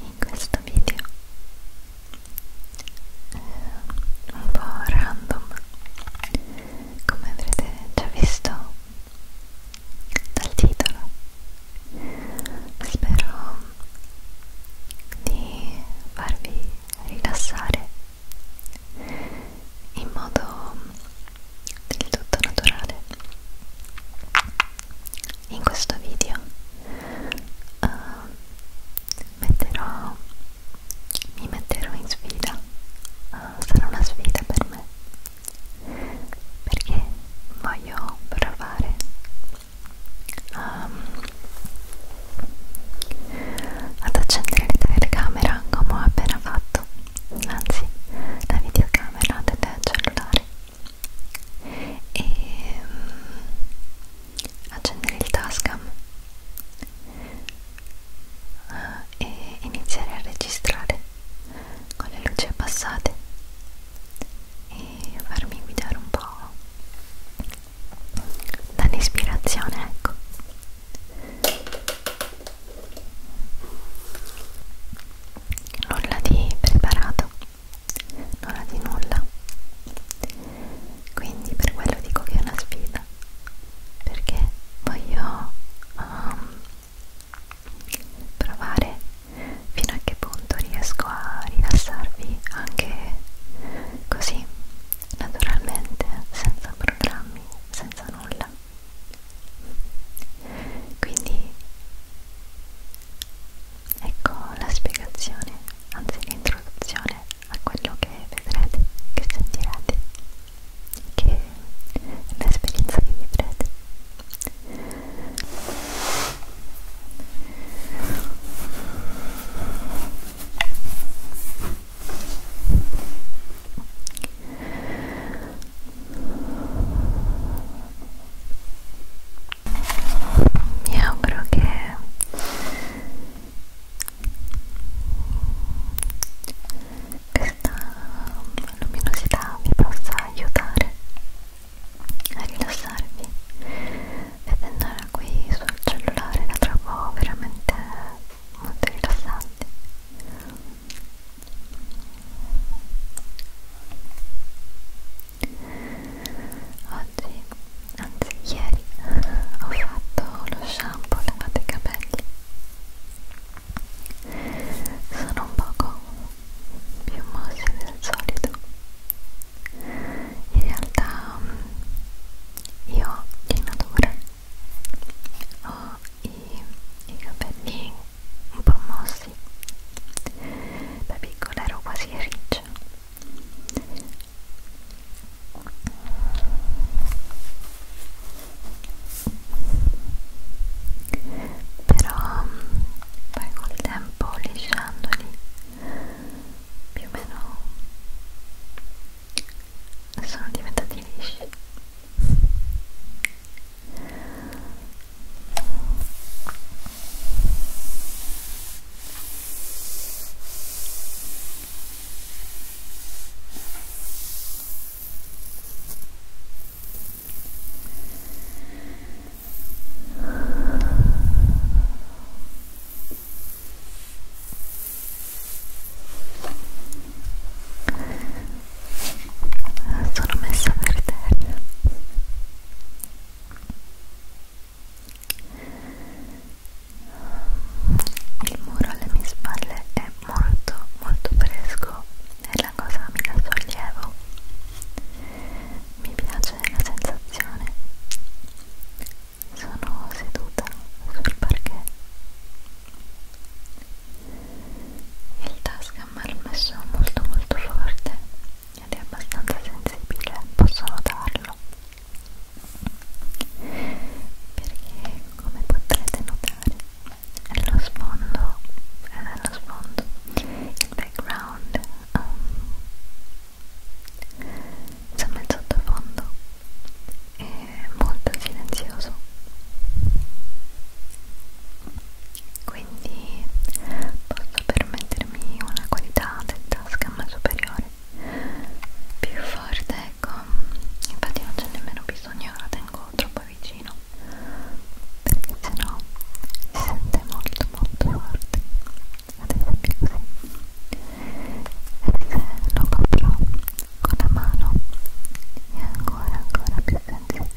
in questo video eh, un po' random come avrete già visto dal titolo spero di farvi rilassare in modo del tutto naturale in questo video uh, metterò, mi metterò in sfida, uh, sarà una sfida per me perché voglio provare um, ad accendere la telecamera come ho appena fatto anzi la videocamera del cellulare e um, accendere il Tascam uh, e iniziare a registrare con le luci abbassate e farmi guidare un po' dall'ispirazione, ecco. Nulla di preparato non ha di nulla quindi per quello dico che è una sfida perché voglio um, provare fino a che punto riesco a rilassarvi anche così naturalmente senza programmi senza nulla quindi Ecco la spiegazione, anzi l'introduzione a quello che vedrete, che sentirete, che è l'esperienza che vivrete mi auguro che questa luminosità vi possa aiutare a rilassarvi vedendola qui sul cellulare la trovo veramente molto rilassante oggi, anzi ieri, ho fatto lo shampoo lavato i capelli sono un poco più mossi del solito in realtà mm, io in natura ho i, i capelli un po' mossi da piccola ero quasi riccia però mm, poi col tempo lisciandoli più o meno sono diventati lisci sono messa per terra il muro alle mie spalle è molto molto fresco e la cosa mi dà sollievo mi piace la sensazione sono seduta sul parquet il tascam è messo molto molto forte ed è abbastanza sensibile, posso notarlo perché come potrete notare lo sfondo, eh, lo sfondo il background um, insomma il sottofondo è molto silenzioso quindi posso permettermi una qualità del tascam superiore più forte ecco infatti non c'è nemmeno bisogno la tengo troppo vicino perché sennò si sente molto molto forte ad esempio così e se lo comprò con la mano è ancora ancora più sensibile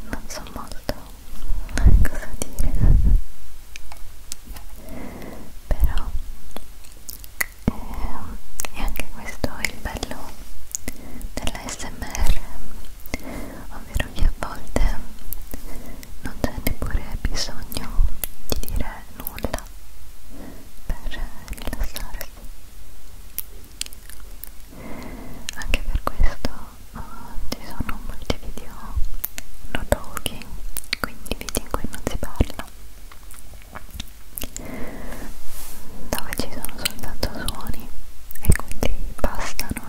non so molto cosa dire però eh, è anche questo il bello dell'ASMR ovvero che a volte non c'è neppure bisogno di dire nulla per rilassarsi anche per questo uh, ci sono molti video no talking quindi video in cui non si parla dove ci sono soltanto suoni e quindi bastano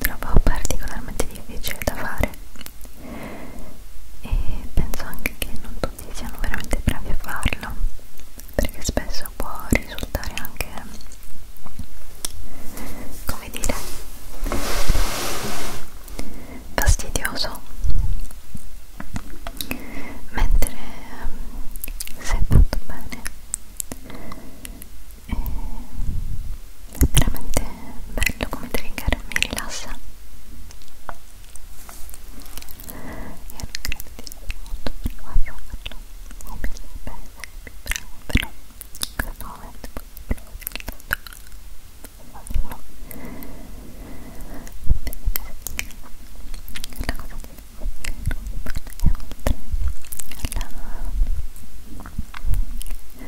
trovo particolarmente difficile da fare e penso anche che non tutti siano veramente bravi a farlo perché spesso può risultare anche come dire fastidioso mentre ehm, se fatto bene è veramente bello come trigger, mi rilassa io non credo di essere molto brava a farlo o meglio per essere più bravo però in questo momento posso provare soltanto a farlo la cosa che non vale oltre alla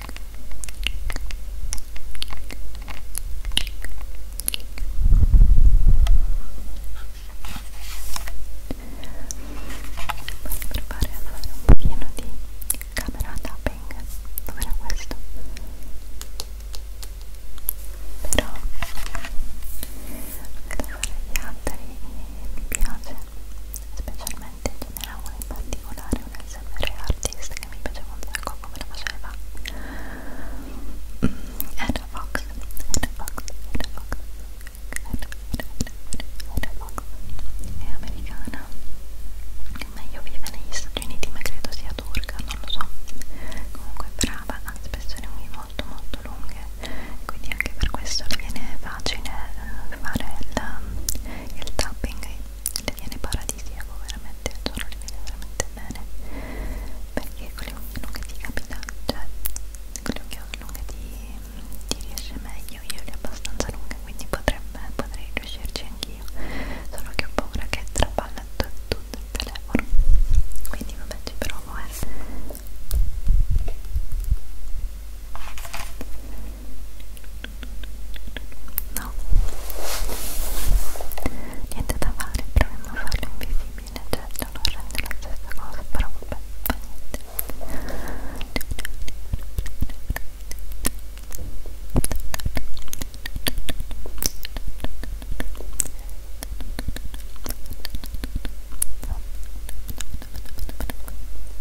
provare a fare un pochino di camera tapping dov'era questo? però anche da fare gli altri mi piace specialmente era uno in particolare, un SMR artist che mi piaceva un sacco come la faceva era mm, Fox, era Fox, era Fox, era Fox è americana meglio vive negli Stati Uniti ma credo sia turca, non lo so comunque è brava, ha spesso le unghie molto molto lunghe quindi anche per questo le viene facile eh, fare il, il tapping le viene paradisiaco veramente, al giorno cioè, le viene veramente bene perché con le unghie lunghe ti capita, cioè con le unghie lunghe ti, ti riesce meglio, io le ho abbastanza lunghe quindi potrebbe, potrei riuscirci anch'io solo che ho paura che trapalla tutto il telefono quindi vabbè ci provo eh No, niente da fare, proviamo a farlo invisibile, certo non rende la stessa cosa, però vabbè, fa niente.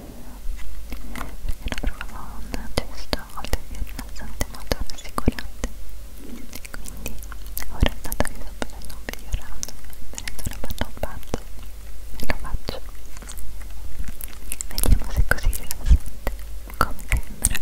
perché lo provavo un gesto oltre che rilassante molto rassicurante quindi ora dato che sto facendo un video random prendo una panna un pazzo e lo faccio vediamo se è così rilassante come sembra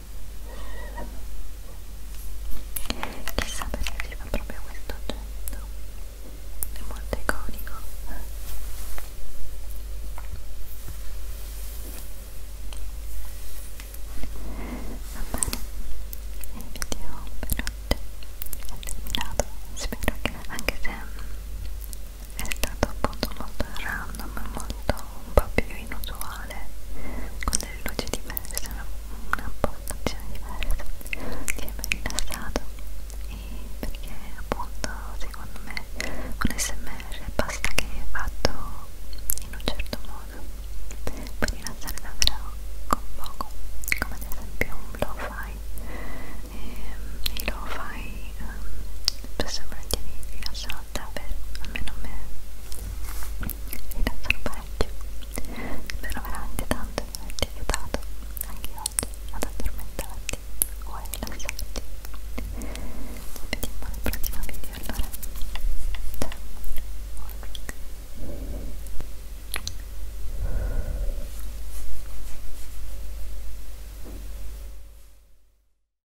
Chissà perché si fa proprio questo oggetto, è molto iconico. Va bene, il video per oggi è terminato. Spero che anche se è stato appunto molto random, molto un po' più inusuale, con delle luci diverse, una, una postazione diversa, si è ben rilassato e perché appunto secondo me un smr basta che è fatto in un certo modo, puoi rilassare davvero con poco, come ad esempio un blow fai ehm, e i lo fai um, ehm, spesso e volentieri rilassata per almeno me rilassano parecchio spero veramente tanto di averti aiutato anche oggi ad addormentarti o a rilassarti ci vediamo al prossimo video allora ciao